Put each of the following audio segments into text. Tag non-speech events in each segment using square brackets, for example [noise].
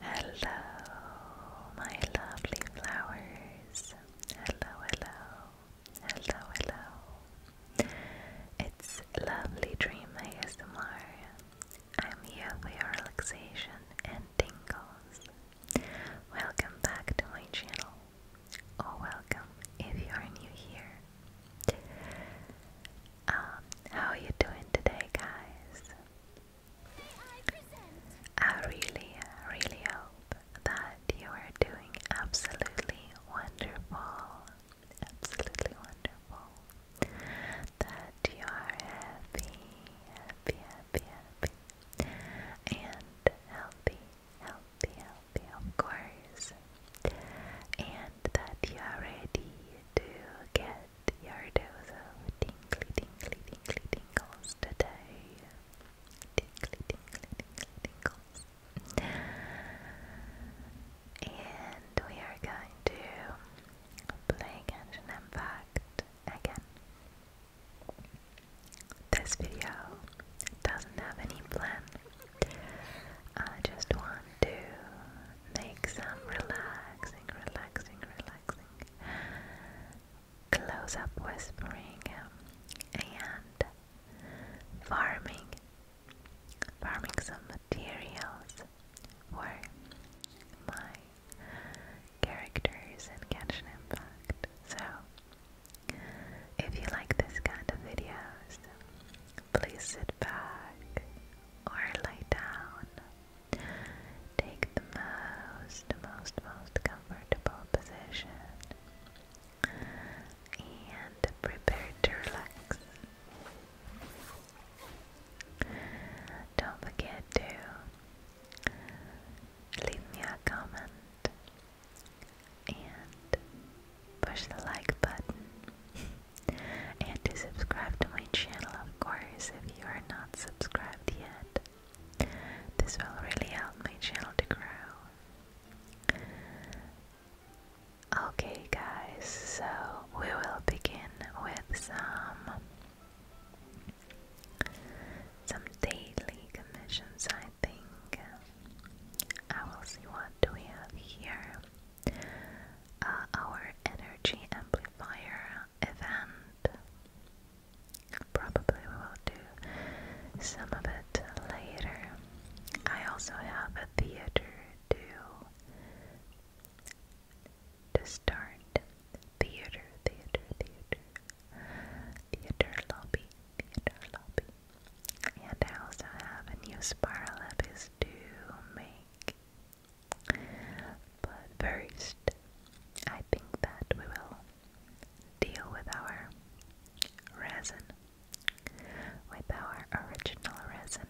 Hello, my lovely flowers. Hello, hello, hello, hello. It's lovely dream ASMR. I'm here for your relaxation and tingles. Welcome back to my channel, or welcome if you are new here. Um, how are you doing today, guys? I really, really hope that you are doing absolutely wonderful. Absolutely wonderful. That you are happy, happy, happy, happy. And healthy, healthy, healthy, of course. And that you are ready to get get your dose of tingly, tingly, tingly tingles today. Tingly, tingly, tingly tingles. And we are going to play Genshin Impact again. This video doesn't have any plan. I just want to make some relaxing, relaxing, relaxing close up whispering and farming, farming some materials for my characters catch an Impact. So, if you like this kind of videos, please sit back or lay down Take the most, most, most comfortable position and prepare to relax. Don't forget to leave me a comment and push the like button [laughs] and subscribe to my channel, of course, if you are not subscribed yet. This will really help my channel to grow. Okay, guys, so we will begin with some some daily commissions, I think. I will see what do we have here. Uh, our energy amplifier event. Probably we will do some of it later. I also have a theater to, to start. Theater, theater, theater. Theater lobby, theater lobby. And I also have a new spiral lab is to make but first, I think that we will deal with our resin. With our original resin,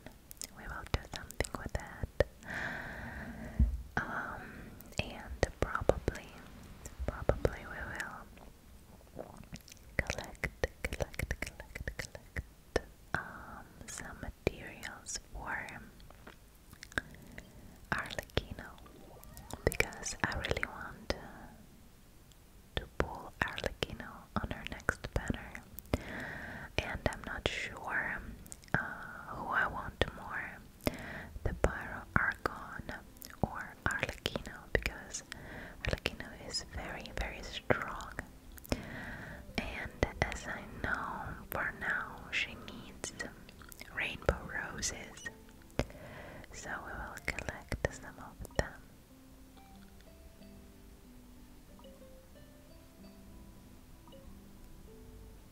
we will do something with that. Um, and probably, probably we will collect, collect, collect, collect um, some materials for Arlecchino because I really want to, pull Arlecchino on our next banner, and I'm not sure uh, who I want more the Pyro Argon or Arlecchino because Arlecchino is very, very strong and as I know for now she needs rainbow roses, so we will collect some of them.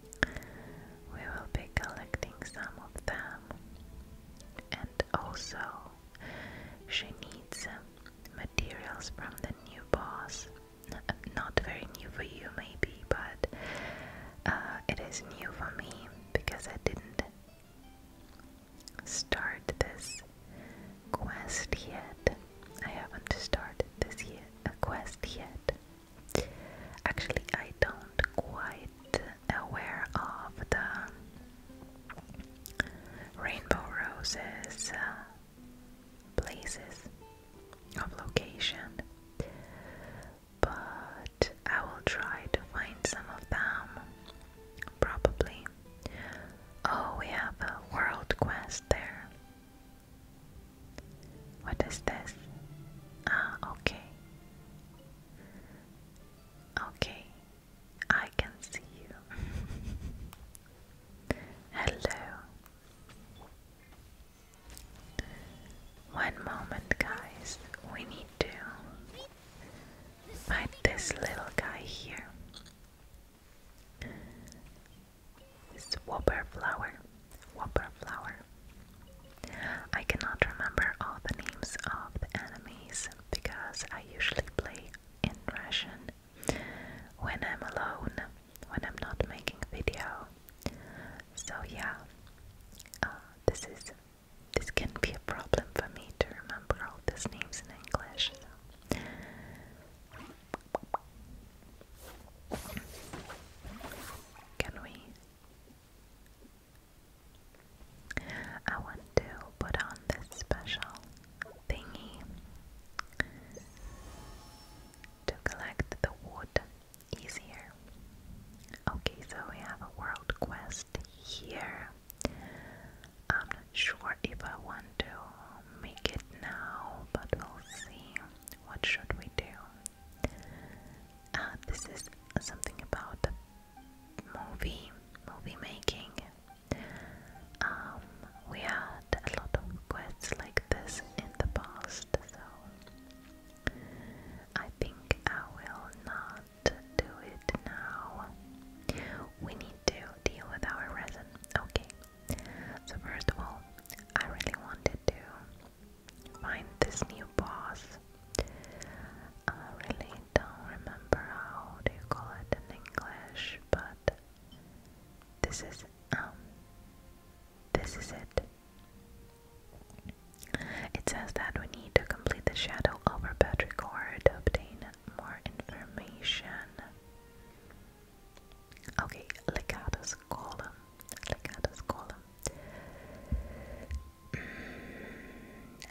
We will be collecting some of them, and also she needs materials from the new boss not very new for you, maybe, but uh, it is new for me because I didn't start this quest yet. I haven't started this yet, a quest yet. Actually, I don't quite aware of the rainbow roses. Uh, places of location, but I will try to find some of them probably. Oh, we have a world quest there. What is this? Ah, okay. Okay, I can see you. [laughs] Hello. One moment, guys. We need to fight this little guy here. This whopper flower. Whopper flower. I cannot remember all the names of the enemies because I usually play in Russian when I'm alone when I'm not making a video. So yeah, uh, this is this can be a problem for me to remember all these names in English. Can we? I want to put on this special thingy to collect the wood easier. Okay, so we have a world quest here. I'm not sure if I want to make it now, but we'll see. What should we do? Uh, this is something about movie, movie making. Um, we had a lot of quests this in the past, so I think I will not do it now. We need to deal with our resin. Okay, so first of all, I really wanted to find this new boss. I really don't remember how do you call it in English, but this is um, this is it. It says that we need to complete the shadow over Petrichor to obtain more information. Okay, Legata's column. Legata's column. Mm,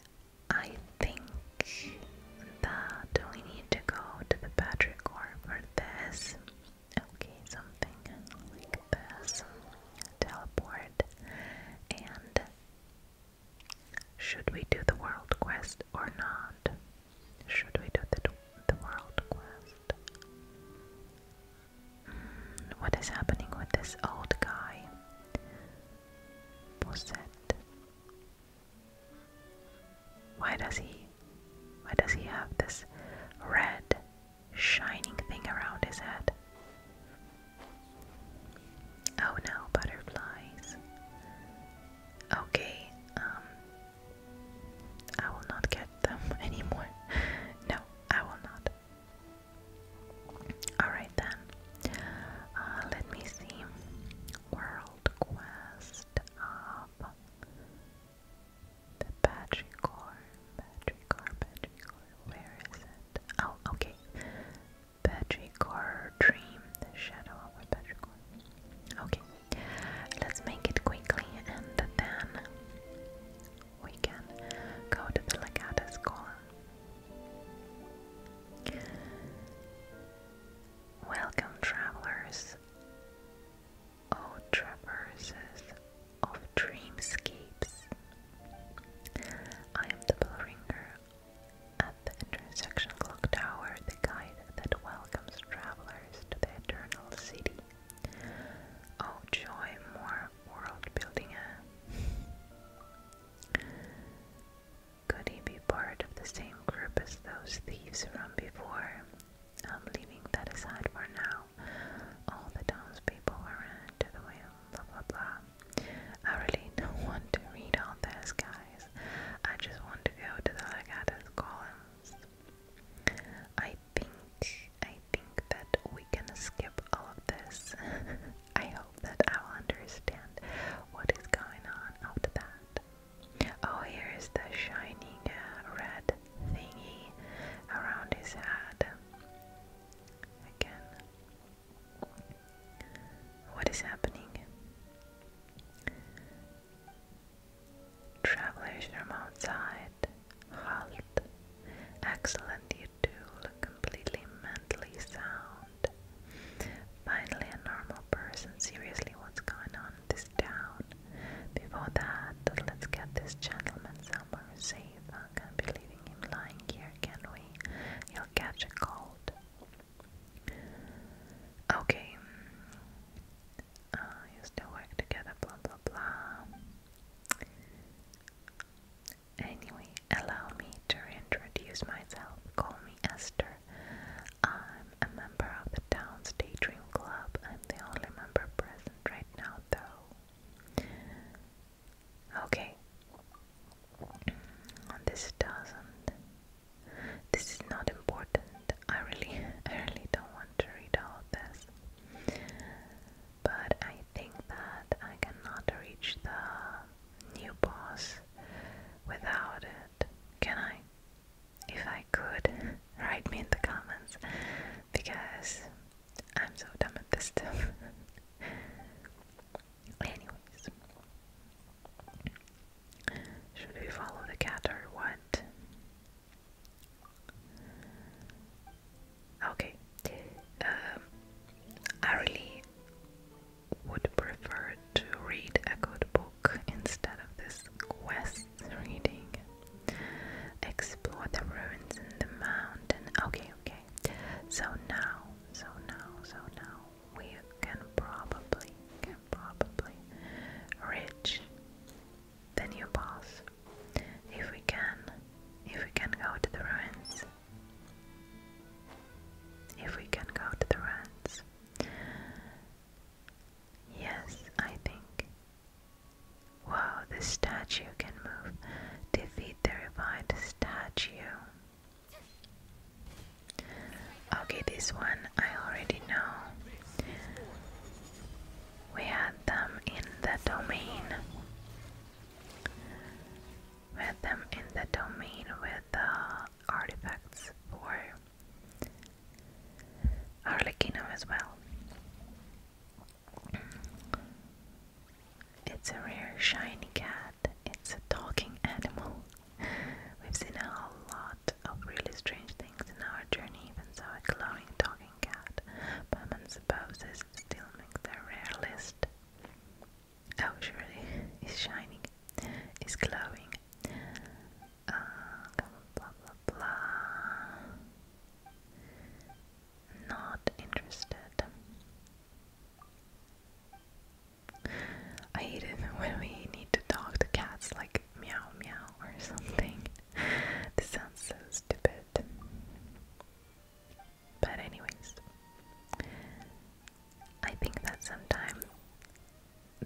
I think that we need to go to the Patrick Orr for this. Okay, something like this. Teleport. And should we do the world quest or not? Should we do the, the world quest? Hmm, what is happening with this old guy? Posette. Why does he why does he have this red shining thing around his head? Oh no, butterflies. Okay, um, I will not get them [laughs] anymore. No, I will not. Alright then, uh, let me see. World Quest of the Badricore, Badricore, Badricore, where is it? Oh, okay. Badricore Dream, the shadow of a Badricore. Okay, let's make it quickly and then we can go to the Legata Scholar. Welcome, travelers. O traverses of dreamscapes, I am the bell at the intersection clock tower, the guide that welcomes travelers to the eternal city. Oh, joy, more world building. Could he be part of the same group as those thieves from before? I'm leaving that aside for now. All the townspeople ran to the wheel, blah blah blah. I really [laughs] don't want to read all this, guys. I just want to go to the Legata's columns. I think, I think that we can skip all of this. [laughs] I hope that I will understand what is going on after that. Oh, here is the shining uh, red thingy around his head. Again. What is happening? Travelers from outside, halt. Excellent, you two look completely mentally sound. Finally, a normal person. Seriously, what's going on? down. Before that, let's get this gentleman somewhere safe. I can't be leaving him lying here, can we? He'll catch a cold. Okay. Uh, still work together, blah blah blah. Anyway, allow me to reintroduce myself. Call me Esther. I'm a member of the town's daydream club. I'm the only member present right now, though. Okay. This doesn't. This is not important. I really, [laughs] I really don't want to read all this. But I think that I cannot reach the new boss without it. Can I? if I could, write me in the comments because I'm so dumb at [laughs] Anyways, should we follow the cat or what? Okay, um, I really would prefer to read a good book instead of this quest reading. Explore the ruins in the mountain. Okay, okay. So now, so now, so now, we can probably, can probably reach the new boss. If we can, if we can go to the ruins. If we can go to the ruins. Yes, I think. Whoa, this statue can move. Defeat the revived statue. Okay, this one I already know. We had them in the domain. had them in the domain with the artifacts for our Arlecchino as well. It's a rare shiny cat. It's a talking animal. We've seen a whole lot of really strange things in our journey, even so a glowing talking cat. But I Batman supposes still makes the rare list. Oh, surely, it's shining, it's glowing uh, blah blah blah. Not interested. I hate it [laughs] when we need to talk to cats like meow meow or something. [laughs] this sounds so stupid. But, anyways, I think that sometimes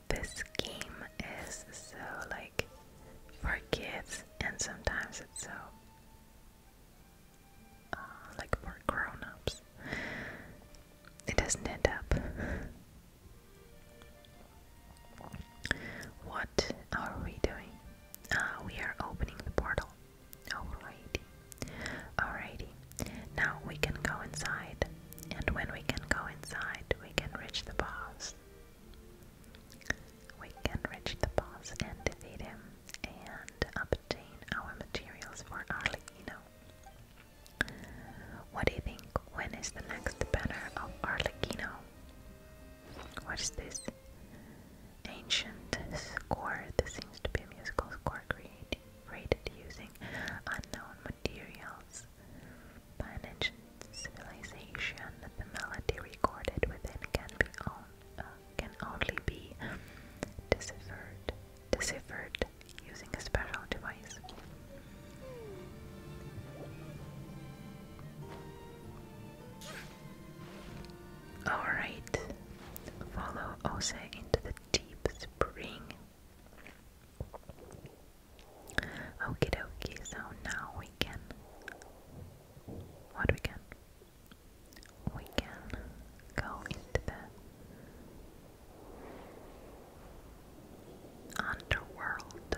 this game is so like for kids and sometimes it's so uh, uh, like for grown it doesn't end up what are we doing uh, we are opening the portal alrighty alrighty now we can go inside and when we can go inside we can reach the boss we can reach the boss and defeat him and obtain our materials for Arlecchino. What do you think? When is the next banner of Arlecchino? What is this? Ancient score. This seems to be a musical score created using unknown materials. By an ancient civilization, the melody recorded within can be uh, only be deciphered, deciphered using a special device. Alright, follow Ose into the deep spring. Okay, dokie, so now we can. What we can? We can go into the underworld.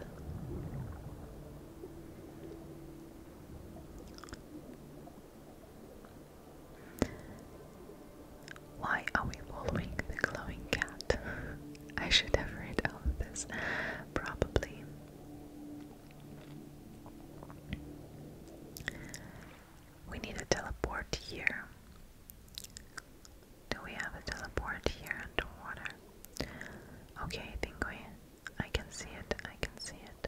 Why are we following the glowing cat? [laughs] I should have read all of this, probably. We need a teleport here. Do we have a teleport here underwater? Okay, I think we. I can see it. I can see it.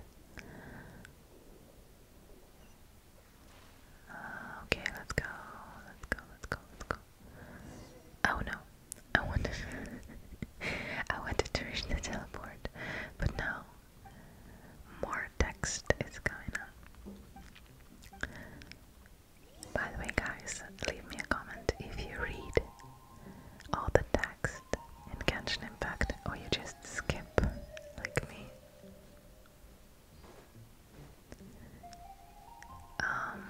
Uh, okay, let's go. Let's go. Let's go. Let's go. Oh no, I wanted, [laughs] I wanted to reach the teleport, but now more text is coming up. By the way, guys, leave me a comment if you read all the text in Genshin Impact or you just skip like me. Um,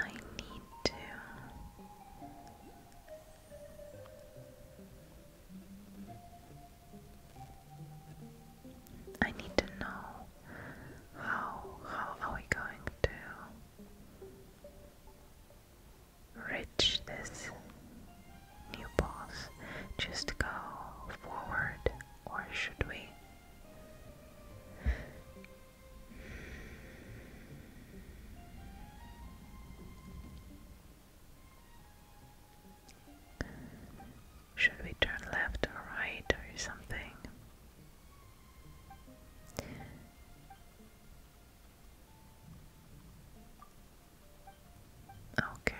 I need to I need to know how how are we going to reach this new boss? Just go forward or should we should we turn left or right or something? Okay.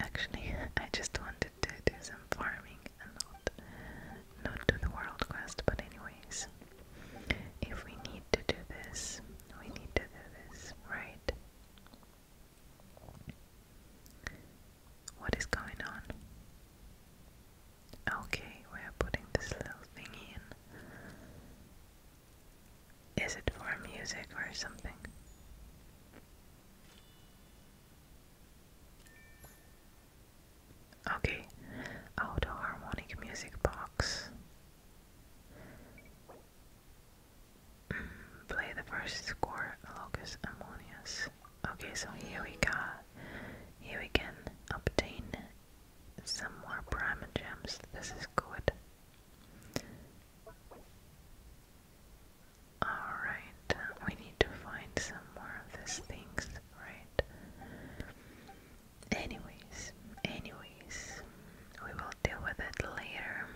Actually, [laughs] I just want to, do some farming and not not do the world quest. But anyways, if we need to do this, we need to do this, right? What is going on? Okay, we are putting this little thing in. Is it for music or something? Okay, auto harmonic music box. Mm, play the first score, Locus Ammonius. Okay, so here we go. Here we can obtain some more prime gems. This is good. Alright. We need to find some more of these things, right? Anyways, anyways, we will deal with it later.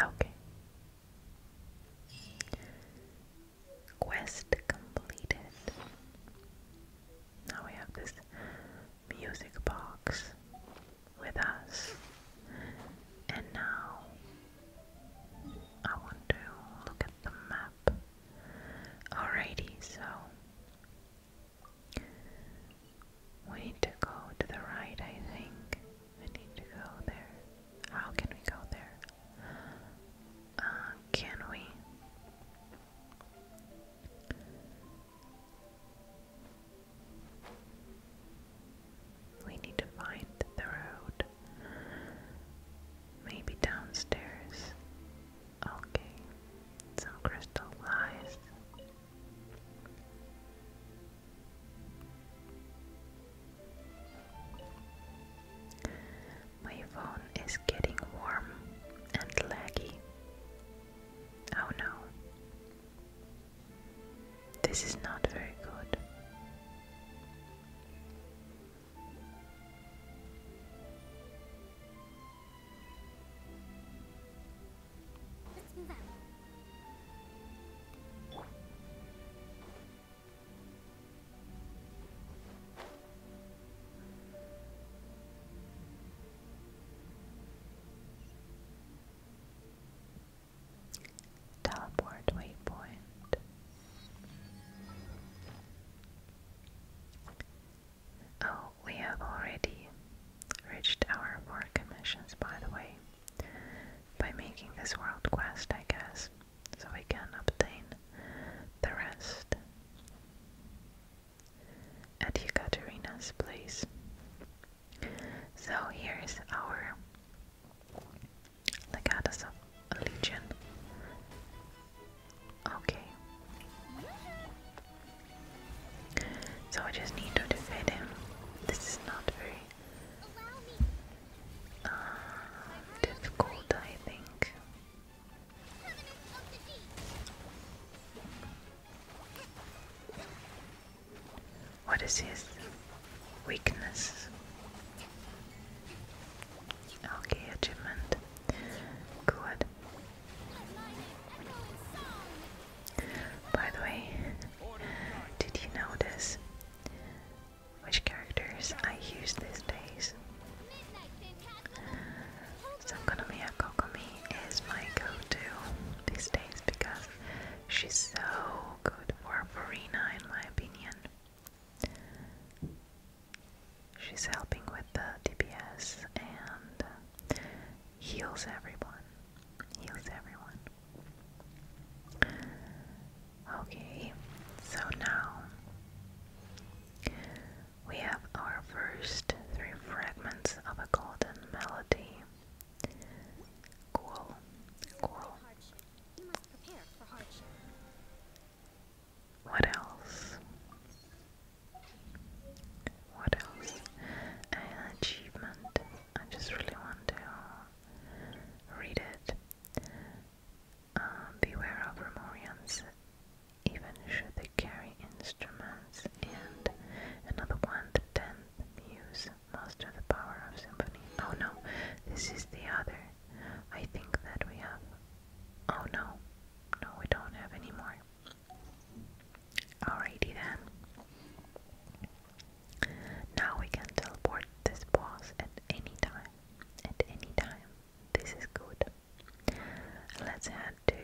Okay. Quest completed. Now we have this music box with us. And now I want to look at the map. Alrighty, so we need to go to the right, I think. We need to go there. How can we go there? Uh, can we? We need to find the road. Maybe downstairs. Okay. Some crystal lies. My phone is getting warm and laggy. Oh no. This is not very good. Teleport waypoint. Oh, we have already reached our four commissions, by the way, by making this world quest, I guess so we can obtain the rest. At Ekaterina's place. So here's our Legatus of Legion. Okay. So I just need to defeat him. This is not very uh, difficult, I think. What is his weakness? Okay, achievement. Good. By the way, did you notice which characters I use these days. So Konomiya is my go-to these days because she's so good for Farina in my opinion. She's helping with the DPS and heals everyone. Heals everyone. Okay, so now we have our first three fragments of a golden melody. Cool, cool. What else? What else? An achievement. I just really want to read it. Um, beware of Remorians, even should they carry instruments. And another one, the tenth muse, master the power of symphony. Oh no, this is the other. I think that we have. Oh no, no, we don't have any more. Alrighty then. Now we can teleport this boss at any time. At any time. This is good. Let's head to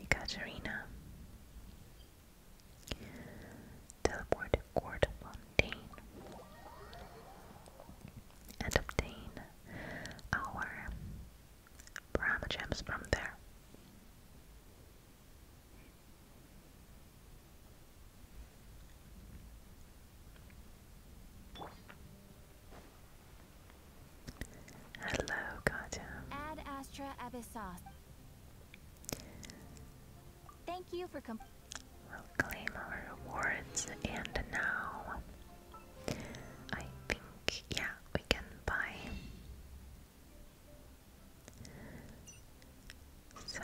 Ekaterina. Teleport Court Fontaine and obtain our Brahma from there. Hello, Katya. Ad Astra Abyssos. Thank you for completing. We'll claim our rewards, and now I think, yeah, we can buy some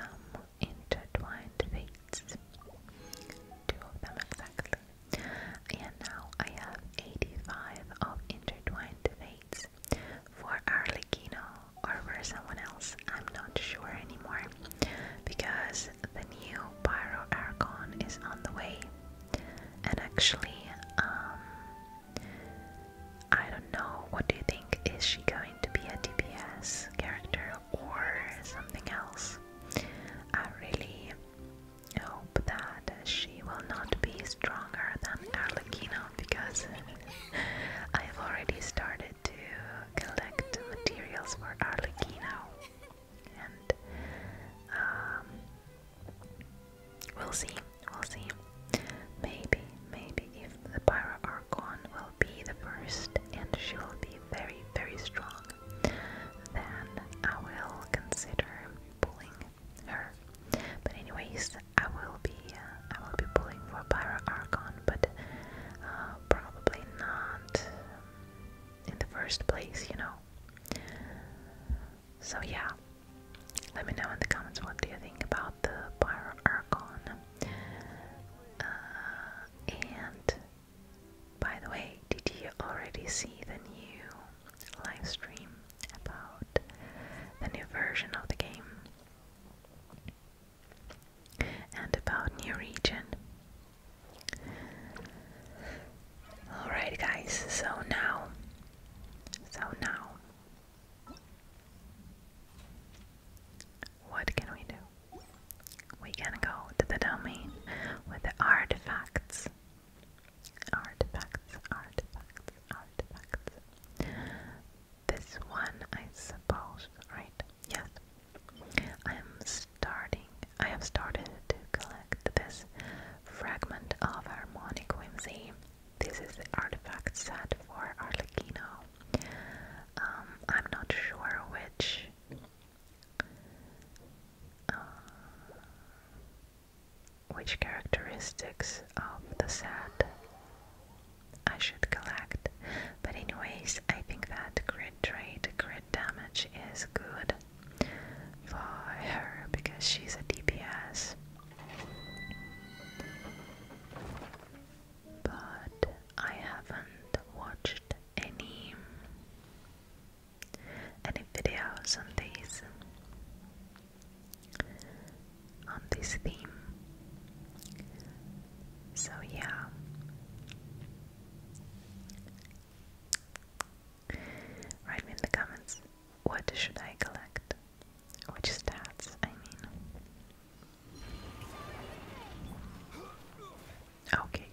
intertwined fates. Two of them exactly. And now I have 85 of intertwined fates for Arlecchino or for someone else. I'm not sure anymore because the new Pyro Archon is on the way. And actually, um, I don't know. What do you think? Is she going to be a DPS character or something else. I really hope that she will not be stronger than Arlecchino because [laughs] I've already started to collect materials for Arlecchino and um, we'll see, we'll see. Maybe, maybe if the Pyra Archon will be the first and she will be very, very strong, then I will consider pulling her. But anyways, I will be uh, I will be pulling for Pyra Archon, but uh, probably not in the first place, you know. So yeah, let me know in the comments what do you think about the Pyra Archon. Uh, and by the way, did you already see the new live stream about the new version of the game? And about new region. Alright guys, so now so now what can we do? We can go to the domain with the artifacts. Artifacts, artifacts, artifacts. This one, I suppose, right? Yes. I am starting, I have started to collect this fragment of harmonic whimsy. This is the artifact set for Arlecchino. Um, I'm not sure which. Uh, which characteristics of the set I should collect. But anyways, I think that grid trade, grid damage is good for her because she's a DPS but I haven't watched any any videos on this on this theme. So yeah. Write me in the comments what should I collect? Which stats I mean. Okay.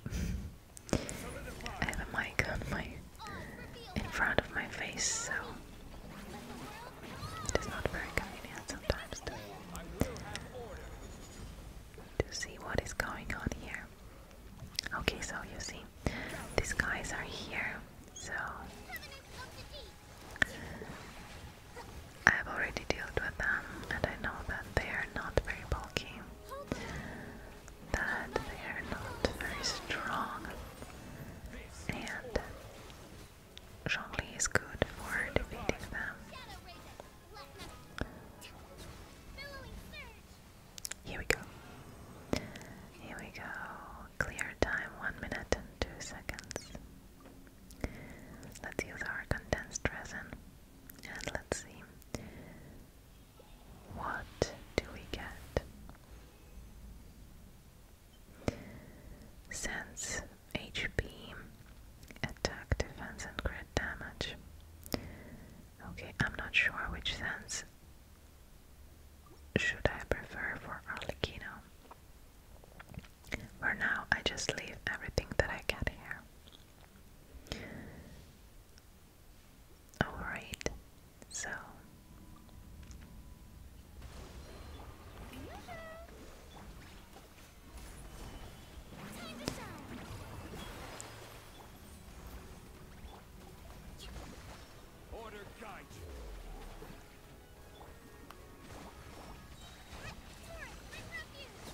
I have a mic in front of my face, so it is not very convenient sometimes to see what is going on here. Okay, so you see, these guys are here, so I've already dealt with them and I know that they are not very bulky, that they are not very strong, and Zhongli is good for defeating them. Here we go. Here we go. Clear time, 1 minute and 2 seconds. Let's use our condensed resin and let's see what do we get. Sense HP, attack, defense, and crit damage. Okay, I'm not sure which sense should I prefer for Arlecchino. For now, I just leave everything that I get here. Alright, so. Order guide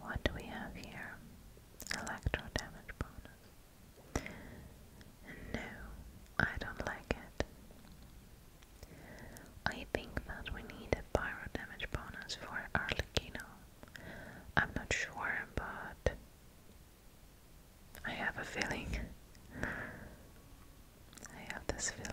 What do we have here? Electro damage bonus no, I don't like it. I think that we need a pyro damage bonus for Arlecchino. I'm not sure, but I have a feeling. I have this feeling.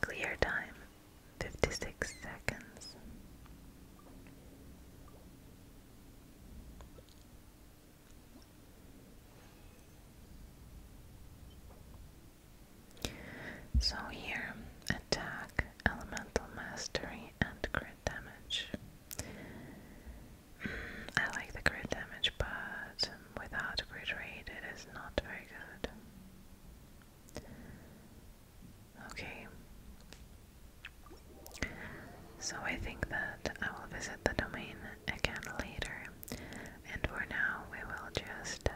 Clear time, 56 seconds. So here, attack, elemental mastery, and crit damage. Mm, I like the crit damage, but without crit rate, it is not very good. Okay. So I think that I will visit the domain again later, and for now we will just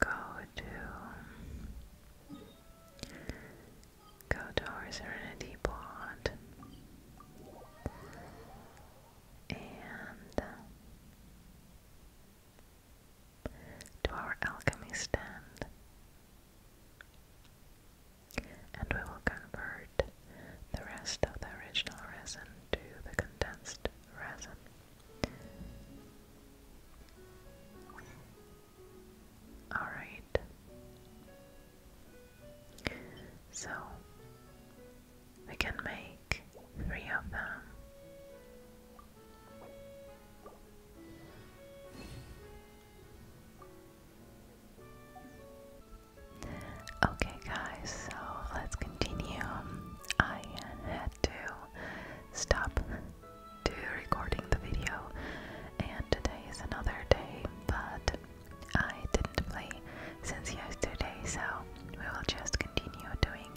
go to go to our Serenity Pond and to our alchemy stand, and we will convert the rest of the original resin to the condensed resin. Alright. So we can make three of them. Okay, guys, so let's continue. I to stop to recording the video and today is another day but I didn't play since yesterday so we will just continue doing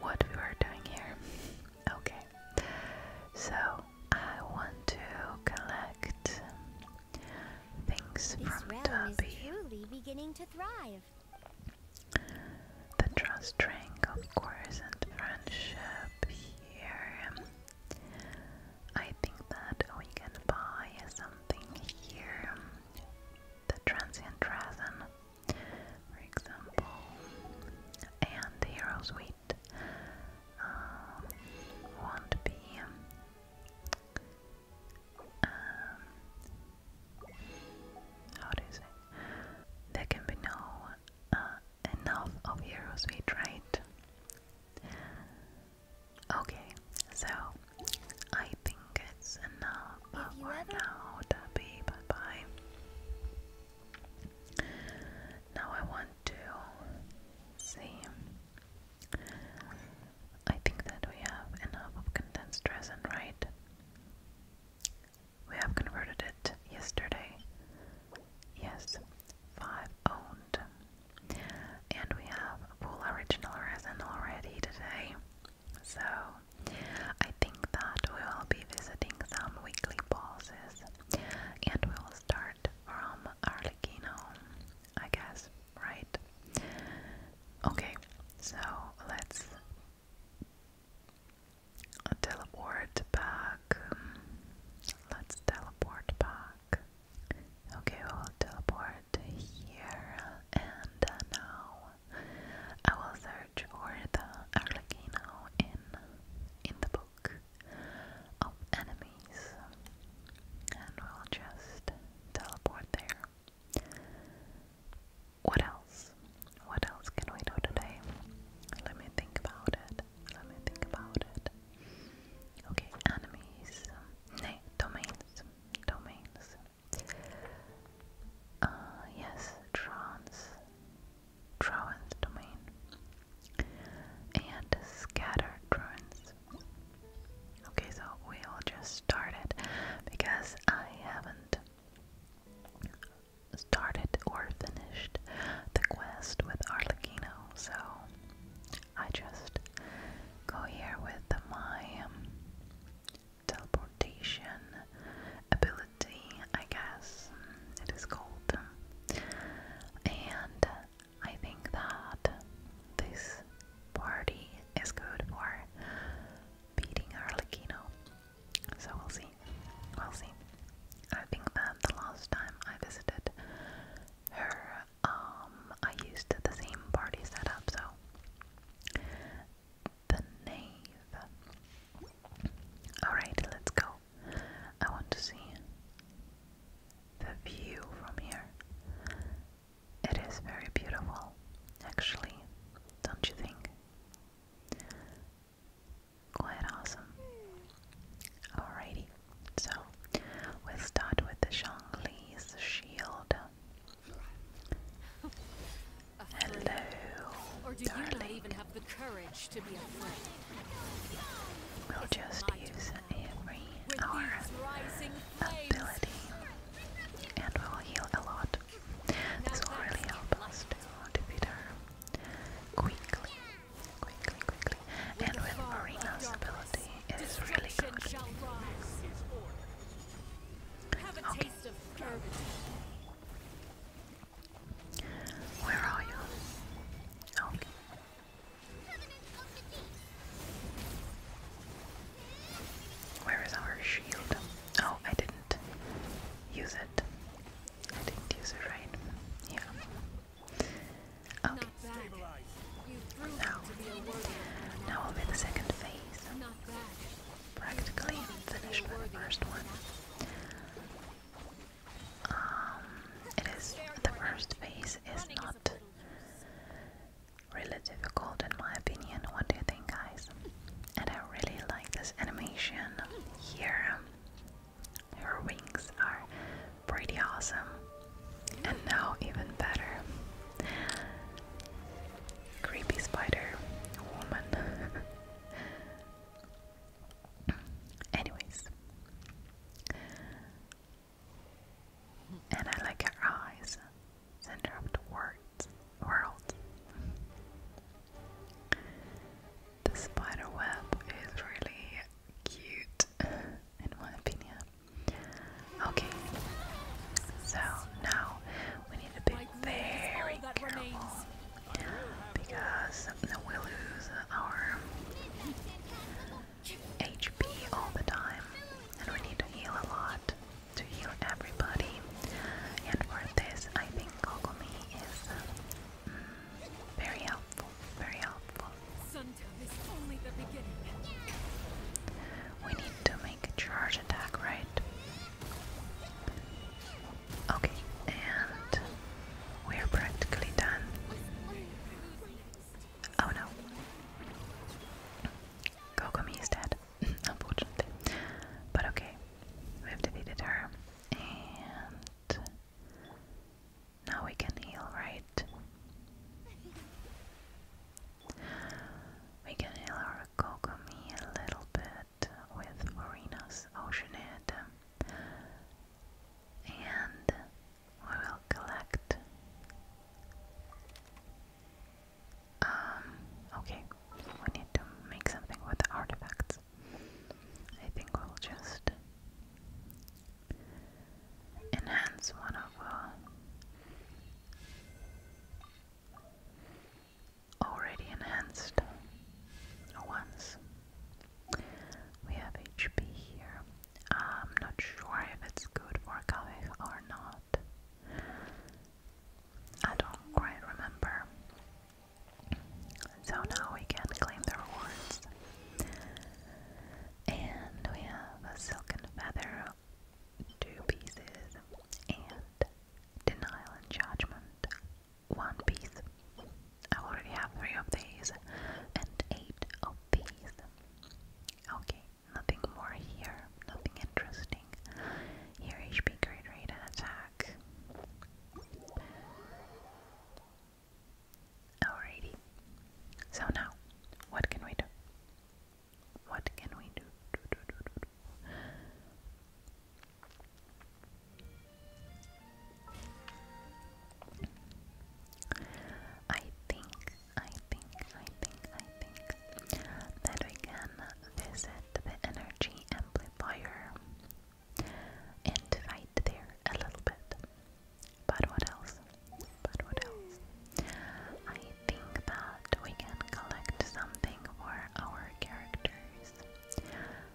what we were doing here. Okay. So I want to collect things this from realm is truly beginning to thrive. The trust rank, of course, and friendship here. I think that we can buy something here. The transient resin, for example, and hero's wheat uh, won't be. Um, how do you say? There can be no uh, enough of Heroes Weed, right? Okay, so I think it's enough for now, Debbie. Bye bye. Now I want to see. I think that we have enough of condensed resin, right? We have converted it yesterday. Yes, five owned. And we have a full original resin already today. So I think that we will be visiting some weekly pauses, and we will start from Arlecchino, I guess, right? Okay, so let's teleport back. Let's teleport back. Okay, i will teleport here, and now I will search for the Arlecchino in in the book of enemies, and we'll just teleport there. What else? What else can we do today? Let me think about it. Let me think about it. Okay, enemies. Nay, domains. Domains. Uh, yes, trance. Trance domain. And scattered ruins. Okay, so we'll just start it because I haven't started or finished the quest with Arlecchino, so I just go here with my um, teleportation ability, I guess it is called. And I think that this party is good for beating Arlecchino. So we'll see. We'll see. I think that the last time I visited her, um, I used the same party setup, so the knave. Alright, let's go. I want to see the view from here. It is very beautiful, actually, don't you think? Quite awesome. Alrighty, so we'll start with the Shang-Li's shield. Hello, or do you even have the courage to be afraid? We'll just use every our ability, and we'll heal a lot. This will really help us to defeat her quickly, quickly, quickly. And with Marina's ability, it is really good. Where are you? Okay. Where is our shield? Oh, I didn't use it. I didn't use it right. Yeah. Okay. Now, now will be the second phase. Practically finished with the first one. Um, it is the first phase is not really difficult in my opinion. What do you think, guys? And I really like this animation here. Her wings are pretty awesome. And now, even better. Creepy spider woman. [laughs] Anyways. And I like her eyes. Center of the world. world. The spider web is really cute, in my opinion. Okay, so now we need to be very careful because we lose our HP all the time, and we need to heal a lot to heal everybody. And for this, I think Kokomi is very helpful. Very helpful. We need to make a charge attack, right? Okay, and we're practically done. Oh no. Kokomi is dead, [laughs] unfortunately. But okay, we've defeated her. And now we can heal, right? We can heal our Kokomi a little bit with Marina's Ocean And we will collect. Um, okay, we need to make something with the artifacts. I think we'll just enhance one of our uh, already enhanced ones. We have HP here. I'm not sure if it's good for Kaveh or not. I don't quite remember. So now we can claim the rewards. And we have a silken feather, two pieces, and denial and judgment, one piece. I already have three of these and eight of these. Okay, nothing more here, nothing interesting. Here HP great rate and attack. Alrighty. So now, what can we do? What can we do. I think, I think, I think, I think that we can visit the energy amplifier and fight there a little bit. But what else? But what else? I think that we can collect something for our characters.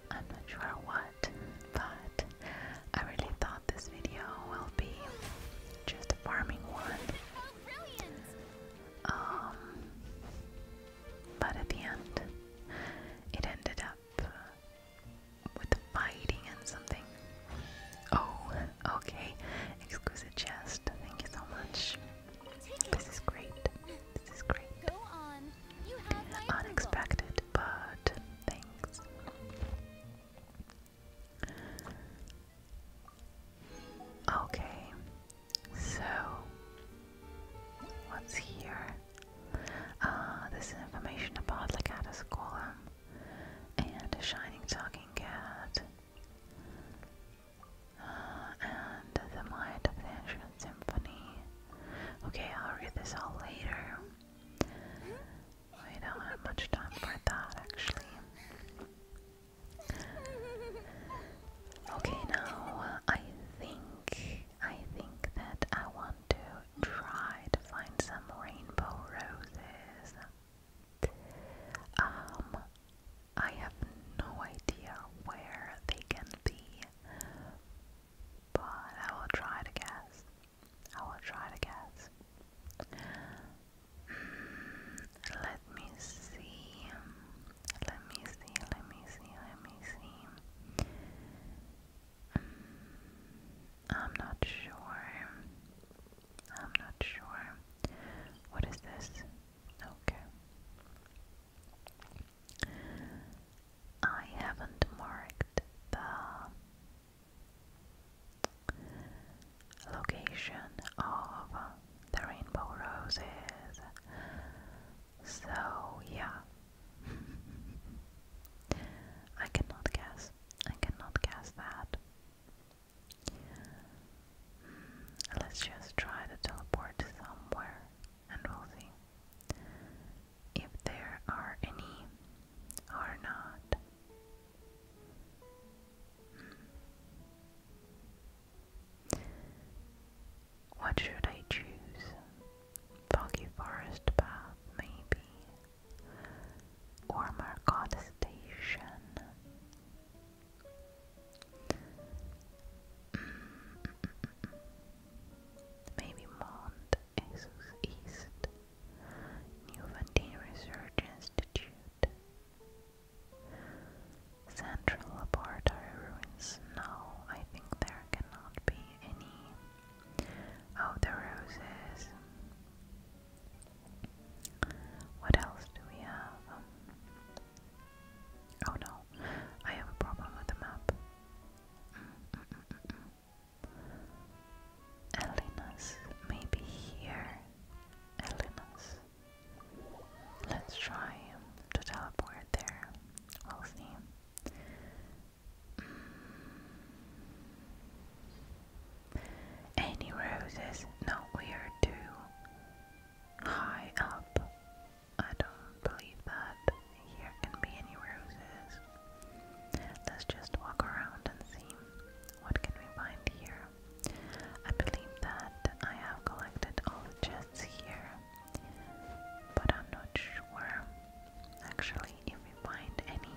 I'm not sure what, but I really thought this video will be just a farming one. But at the end, it ended up with the fighting and something. Oh, okay. Exquisite chest. Thank you so much. This is great. This is great. Unexpected, but thanks. Okay, so, what's here? Ah, uh, this information about Legatus Golem and a shining talking cat. Uh, and the mind of the ancient symphony. Okay, I'll read this all later. I don't have much time for that actually. Okay, now I think I think that I want to try to find some rainbow roses. Um, I have no idea where they can be, but I will try to guess. I will try to guess. Hmm, let me see. Let me see, let me see, let me see. Mm, I'm not sure. I'm not sure. What is this? Okay. I haven't marked the location of the rainbow roses. So, yeah. I cannot guess. I cannot guess that. Hmm, let's just try to teleport somewhere and we'll see if there are any or not. Hmm. What should I choose? Foggy Forest Path, maybe? Or Marcotte Station? Maybe Mount Asus East? New Research Institute? Central Laboratory ruins. No, I think there cannot be any. Oh, the roses. What else do we have? Um, oh no, I have a problem with the map. Mm, mm, mm, Elena's, maybe here. Elena's. Let's try to teleport there. We'll see. Mm. Any roses? No, we are too high up. I don't believe that here can be any roses. Let's just walk around and see what can we find here. I believe that I have collected all the here but I'm not sure. Actually, if we find any,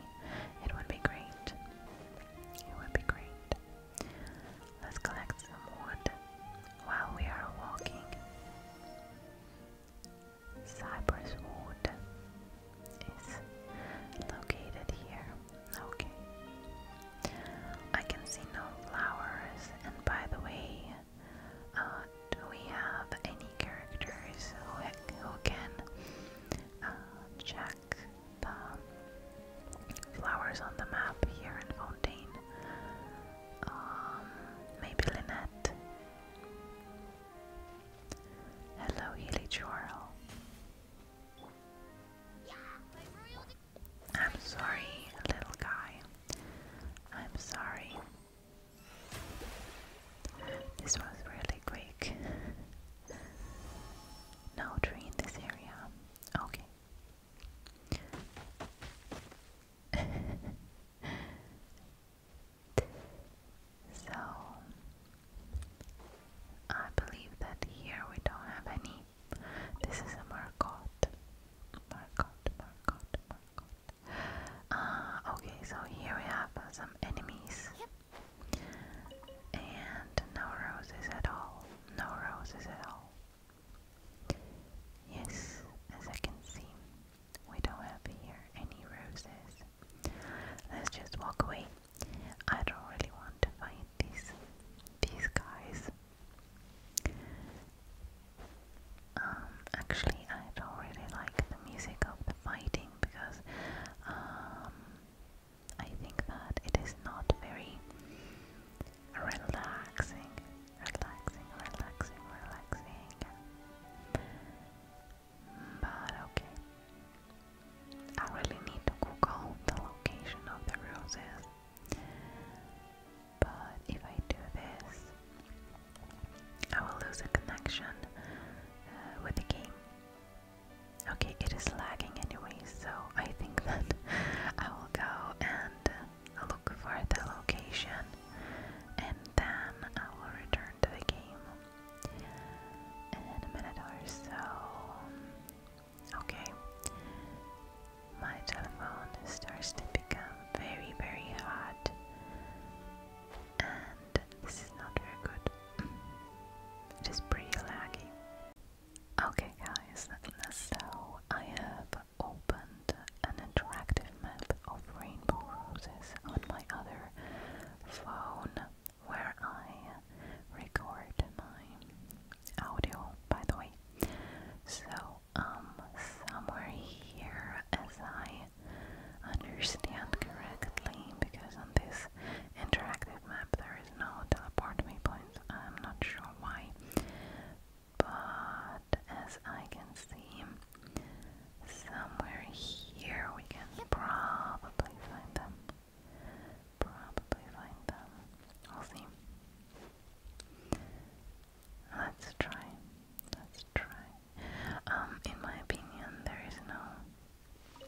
it would be great. It would be great. Let's collect some wood while we are walking. Cypress Wood is located here. Okay. I can see no flowers, and by the way, uh, we have any characters who, who can uh, check the flowers on the map here in Fontaine. Um, maybe Lynette. Hello, Healy Chorl. I'm sorry, little guy. I'm sorry. This was really quick. no tree in this area. Okay. [laughs] so, I believe that here we don't have any. This is a Marcotte. Marcotte, Marcotte, Marcotte. Uh, okay, so here we have some enemies. And no roses at all. No roses at all. Yes, as I can see, we don't have here any roses. Let's just walk away. I don't really want to fight these these guys. Um, actually, I don't really like the music of the fighting because um, I think that it is not very relaxing, relaxing, relaxing, relaxing. But okay. I really need to Google the location of the roses. But if I do this, I will lose a connection uh, with the game. Okay, it is lagging anyway, so I think [laughs] that I will go and uh, look for the location and then I will return to the game in a minute or so. Okay, my telephone starts to become very, very hot, and this is not very good. [laughs] it is pretty laggy. Okay, guys, so I have opened an interactive map of rainbow roses on my other phone where I record my audio, by the way. So um, somewhere here, as I understand correctly, because on this interactive map there is no teleport points. I'm not sure why, but as I can see, somewhere here we can probably find them. Probably find them. We'll see. Let's try. Let's try. Um, in my opinion, there is no,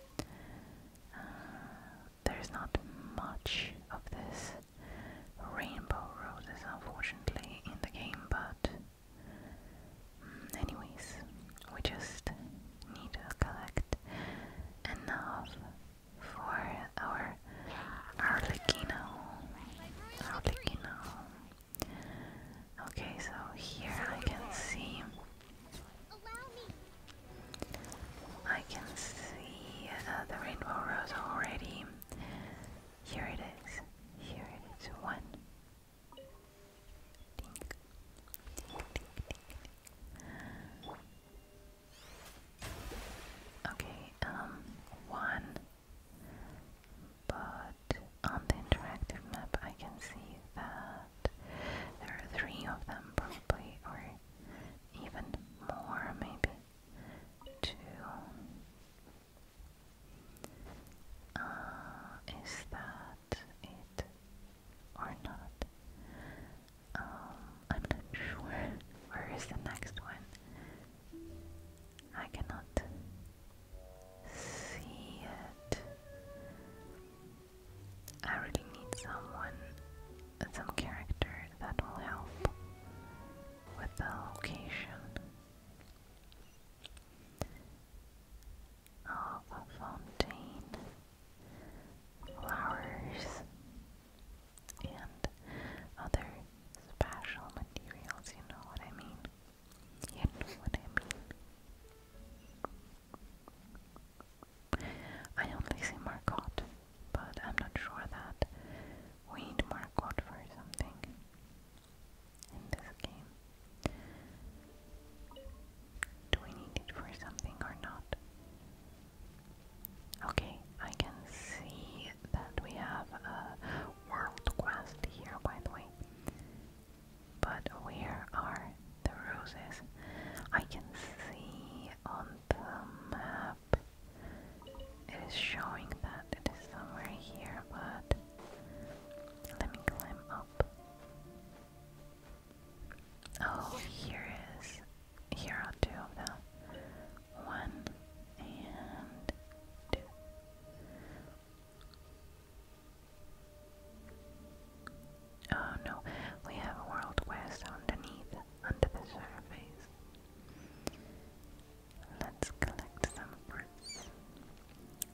uh, there is not much of this rainbow roses, unfortunately, in the game. But, mm, anyways, we just need to collect enough for our Arlecchino. Arlecchino. Okay, so here I can see. I can see uh, the rainbow rose already. Here it is. Here it is. One. Okay, um, one. But on the interactive map, I can see that there are three of them, probably, or even more, maybe two. Uh, is that it or not? Um, I'm not [laughs] sure. Where is the next one? I cannot see it. I really need someone, some character that will help with the location of fountain, flowers, and other special materials, you know what I mean? You know what I mean? I only see Marcotte, but I'm not sure that we need Marcotte for something in this game. Do we need it for something or not? Okay, I can see that we have a world quest here, by the way. But where are the roses? I can see on the map it is showing that it is somewhere here, but let me climb up. Oh, here is. Here are two of one and two. Oh no, we have a world quest underneath, under the surface. Let's collect some fruits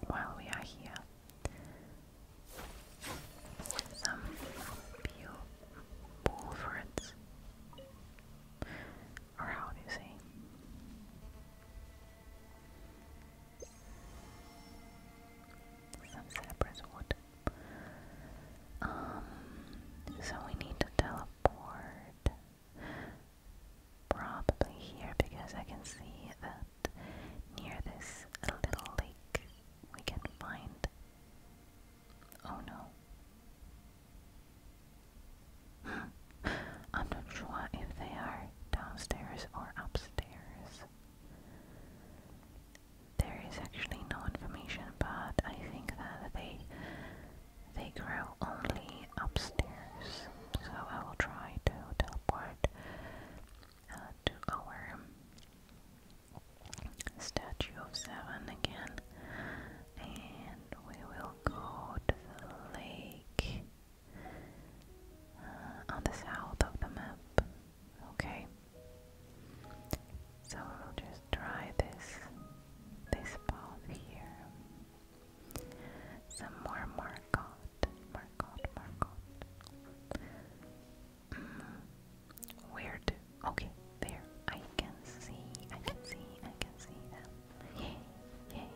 while we are here. Some pure bull fruits or how do you say? Some cypress wood. Um, so we need to teleport probably here because I can see that near this little lake we can find. Oh no. I'm not sure if they are downstairs or upstairs. There is actually no information, but I think that they they grow only upstairs. So I will try to teleport uh, to our statue of seven again, we will go to the lake uh, on the south of the map. Okay. So we'll just try this this path here. Some more Margot. Margot, Margot. Mm, weird. Okay, there. I can see, I can see, I can see them. Yay, yay,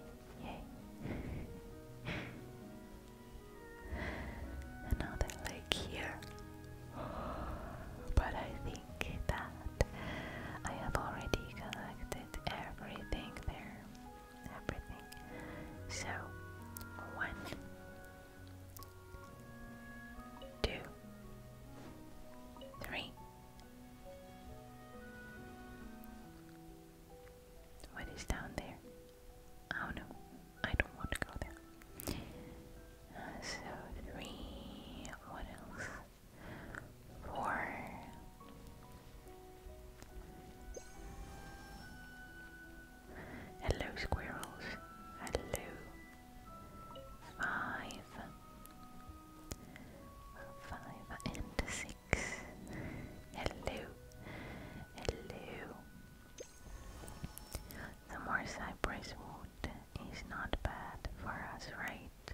yay. Another lake here. But I think that I have already collected everything there. Everything. So, one, two, three. What is down there? Oh no, I don't want to go there. so three, what else? Four. Hello squirrels. Hello. Five. Five and six. Hello. Hello. The more cypress wood is not bad for us, right?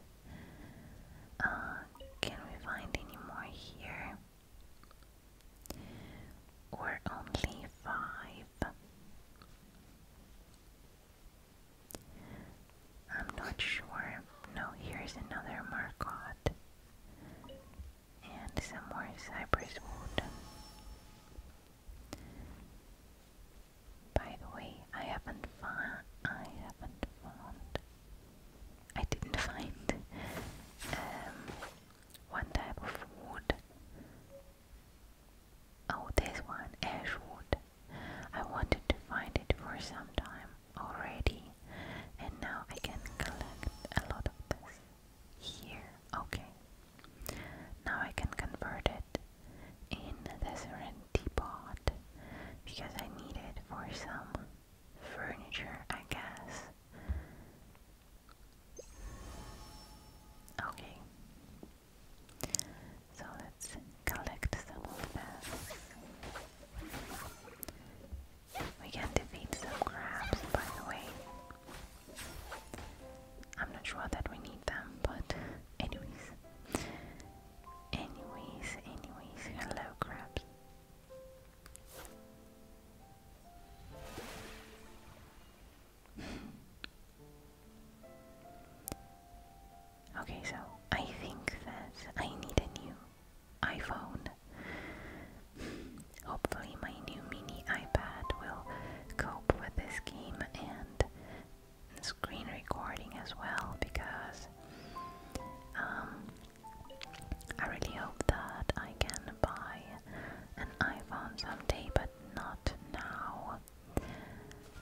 Uh, can we find any more here? Or only five? I'm not sure. No, here's another Marcotte. And some more cypress wood. By the way, I haven't found. I haven't found. I didn't find um, one type of wood. Oh, this one, ash wood. I wanted to find it for some time already, and now I can collect a lot of this here. Okay, now I can convert it in the serenity pot because I need it for some furniture, I guess. Okay. So let's collect some of that. We can defeat some crabs, by the way. I'm not sure that we need them, but anyways. Anyways, anyways, hello crabs. Okay, so I think that I need a new iPhone. Hopefully, my new mini iPad will cope with this game and screen recording as well because um, I really hope that I can buy an iPhone someday, but not now.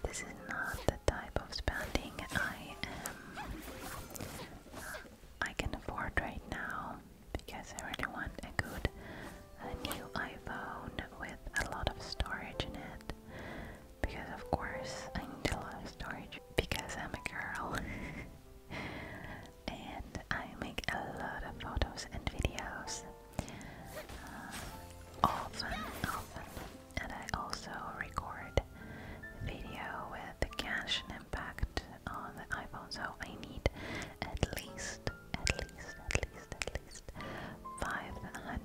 This is not the type of spending I am. Uh, I can afford right now because I really want a good a new iPhone with a lot of storage in it. Because of course I need a lot of storage because I'm a girl [laughs] and I make a lot of photos and videos. Uh, often, often and I also record video with the cash and impact on the iPhone. So I need at least, at least, at least, at least 500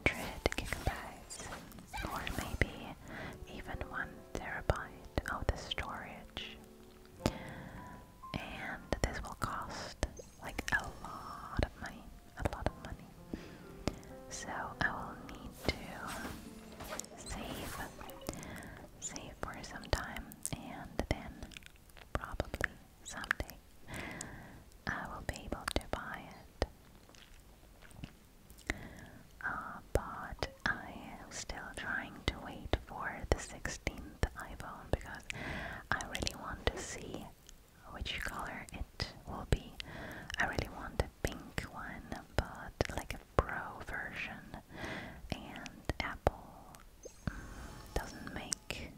gigabytes, or maybe even one terabyte of the storage. And this will cost like a lot of money, a lot of money. So I will need to save, save for some time, and then probably someday I will be able to buy it. Uh, but I am still trying to wait for the 16th iPhone because I really want to see which color it will be. I really wanted pink one, but like a pro version. And Apple doesn't make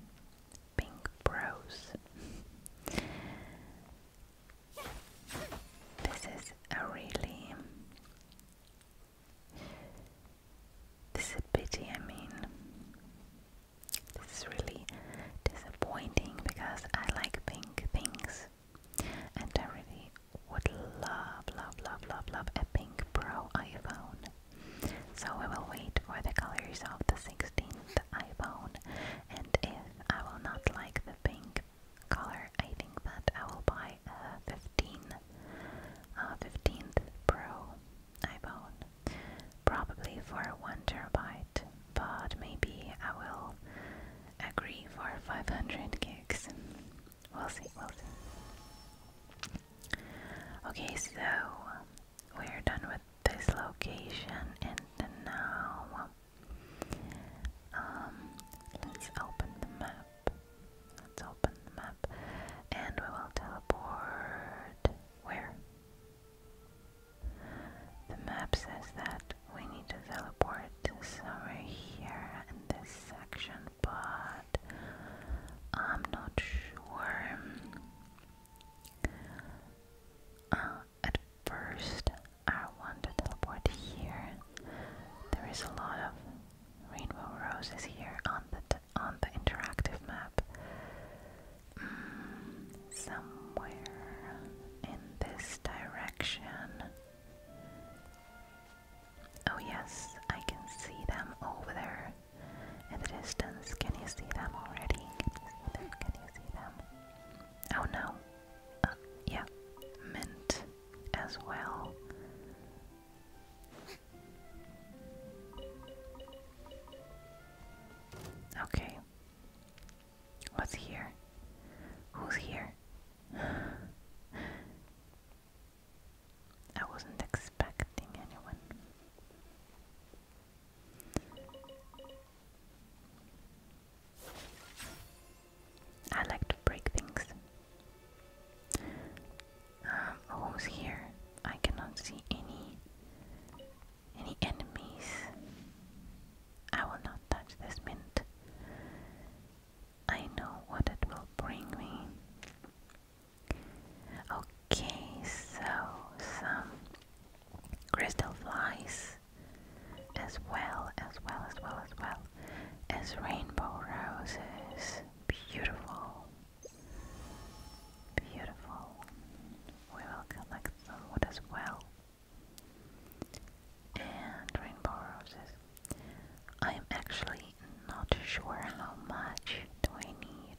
pink pros. This is a really. This is a pity, I mean. This is really disappointing because I like pink things. And I really would love, love, love, love, love a pink Pro iPhone. So we will wait for the colors of the 16th iPhone. And if I will not like the pink color, I think that I will buy a 15, Pro iPhone, probably for one terabyte but maybe I will agree for 500 gigs. We'll see, we'll see. Okay, so we're done with this location and now um, let's open the map. Let's open the map and we will teleport where? The map says that we need to teleport somewhere here in this section, but I'm not sure. Uh, at first, I want to teleport here. There is a lot of rainbow roses here on the on the interactive map. Mm, somewhere in this direction. Oh, yes, I can see them over there in the distance. Can you see them already? Can you see them? Can you see them? Oh no. Uh, yeah, mint as well. Okay, What's here? Who's here? I wasn't expecting anyone. I like to break things. Um, who's here? I cannot see any any enemies. I will not touch this mint. I know what it will bring me. Okay, so some crystal flies as well, as well, as well, as well as rainbow roses. Beautiful. Beautiful. We will collect some wood as well. And Rainbow Roses. I'm actually not sure how much do we need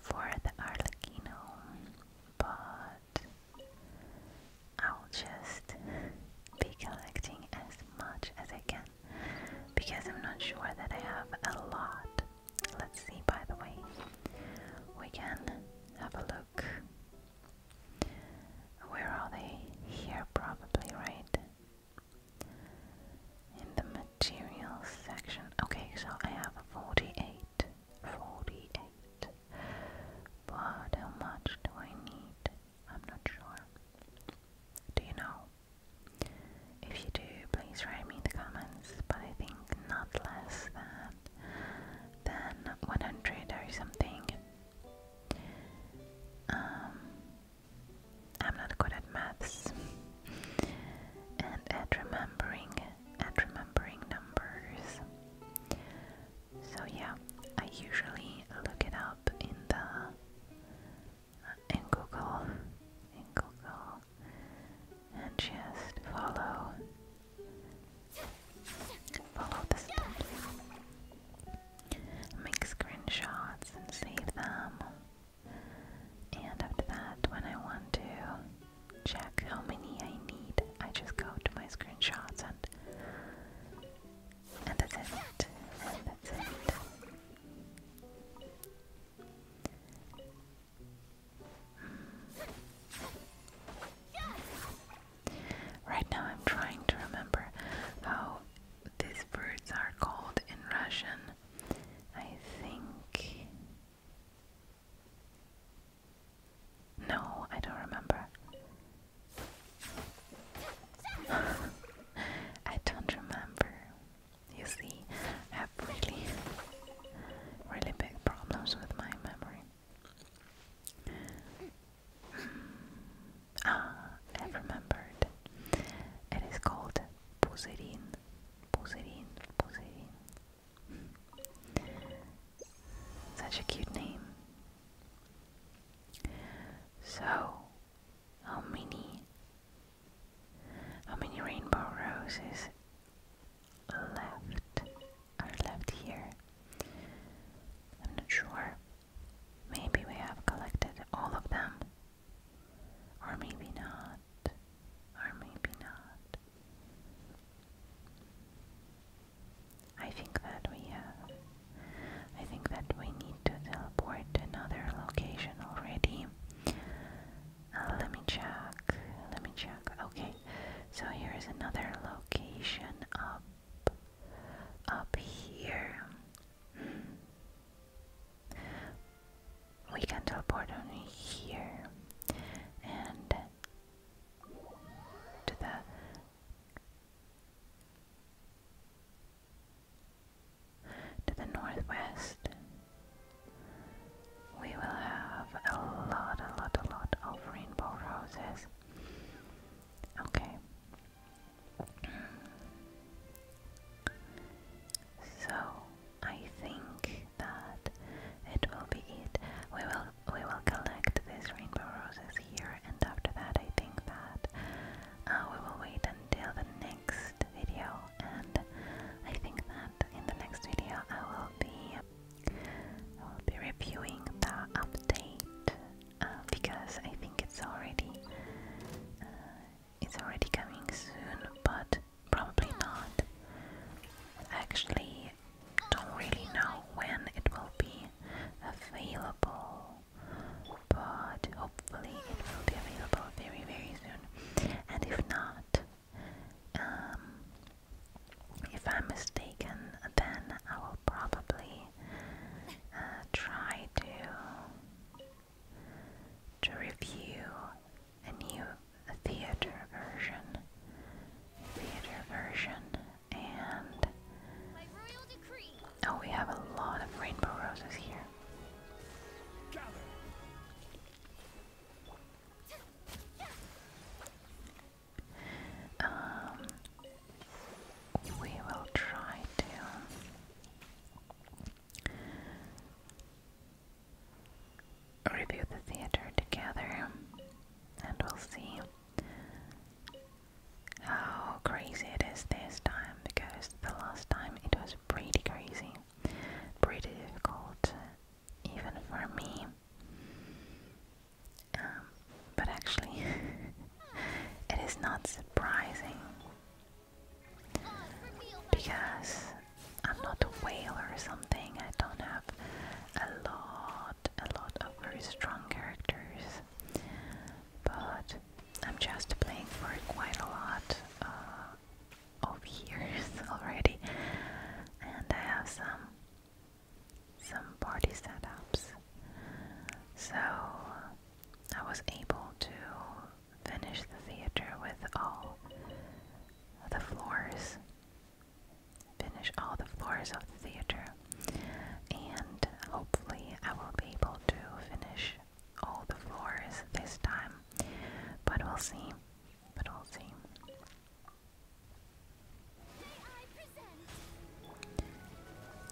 for the Arlecchino, but I'll just be collecting as much as I can because I'm not sure that I have a lot. Let's see, by the way, we can have a look where are they? Here, probably, right? In the materials section. Okay, so I have 48. 48. But how much do I need? I'm not sure. Do you know? If you do, please write me in the comments, but I think not less than that 100 or something. Um, I'm not good at maths and at remembering at remembering numbers. So yeah, I usually look it up in the uh, in Google in Google and just follow Follow the steps. Make screenshots and save them. And after that, when I want to check how many I need, I just go to my screenshots and and that's it. And that's it. Hmm. Right now I'm trying to remember how these birds are called in Russian. I think. No, I don't remember. [laughs] I don't remember. You see, I have really, really big problems with my memory. Ah, I remembered. It is called Puzerin. Puzerin, Puzerin. Such a cute name. So, how many how many rainbow roses left? are left here. I'm not sure. Maybe we have collected all of them. Or maybe not. Or maybe not. I think that we have. I think that we need to teleport to another location already. Uh, let me check. Let me check. Okay. So here is another location of up here. We can teleport on here and to the to the northwest. We will have a lot, a lot, a lot of rainbow roses Okay. So I think that it will be it. We will we will collect these rainbow roses here, and after that, I think that uh, we will wait until the next video. And I think that in the next video, I will be I will be reviewing the update uh, because I think it's already uh, it's already coming soon, but probably not. actually don't really know when it will be available, but hopefully it will be available very very soon. And if not, um, if I'm mistaken, then I will probably uh, try to to review a new theater version, theater version, and oh, we have a lot of rainbow roses here. Um, we will try to review the theater together and we'll see how crazy it is this time because the last time it was pretty crazy, pretty difficult, even for me. Um, but actually, [laughs] it is not surprising because I'm not a whale or something. I don't have a lot, a lot of very strong characters, but I'm just playing for quite a lot uh, of [laughs] years already, and I have some some party setups. So I was able to finish the theater with all the floors, finish all the floors of the theater, and hopefully I will be able to finish all the floors this time. But we'll see. But we'll see.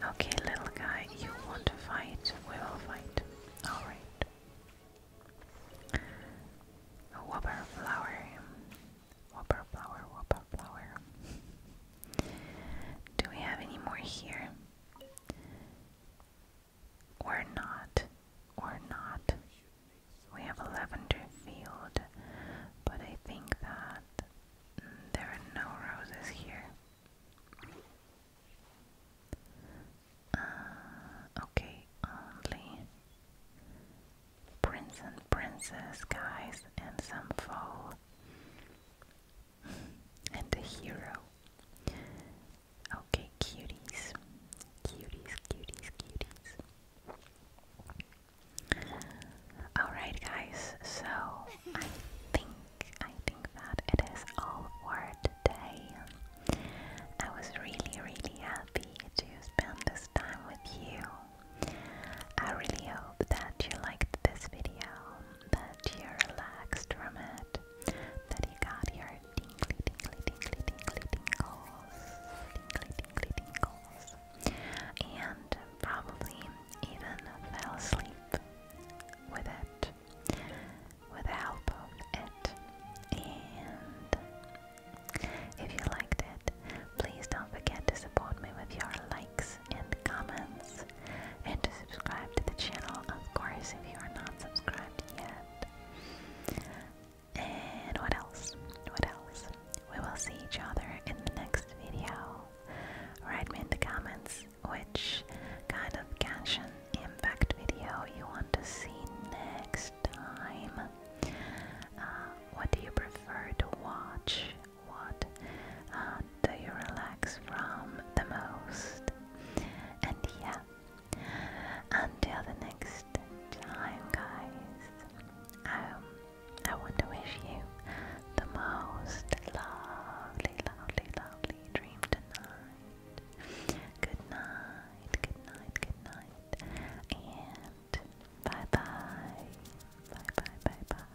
Okay, little guy, you want to fight? We will fight. Alright. Whopper flower. Whopper flower, whopper flower. Do we have any more here? Or not? Or not? We have a lavender field, but I think that there are no roses here. Uh, okay, only prince and princess guys and some foe [laughs] and a hero. Okay, cuties. Cuties, cuties, cuties. Alright guys, so I think I think that it is all for today. I was really really happy to spend this time with you. I really hope that you liked this video, that you relaxed from it, that you got your tingly tingly tingly tingly tingles, tingly tingly tingles and probably even fell asleep with it, with the help of it. And if you liked it, please don't forget to support me with your likes and comments, and to subscribe to the channel, of course, if you are not subscribed yet. And what else? What else? We will see each other in the next video. Write me in the comments which kind of Genshin Impact video you want to see next time. Uh, what do you prefer to watch? What uh, do you relax from the most? And yeah, until the next time, guys. Um, I want to wish you the most lovely, lovely, lovely dream tonight. Good night, good night, good night, and bye bye. Bye bye, bye bye.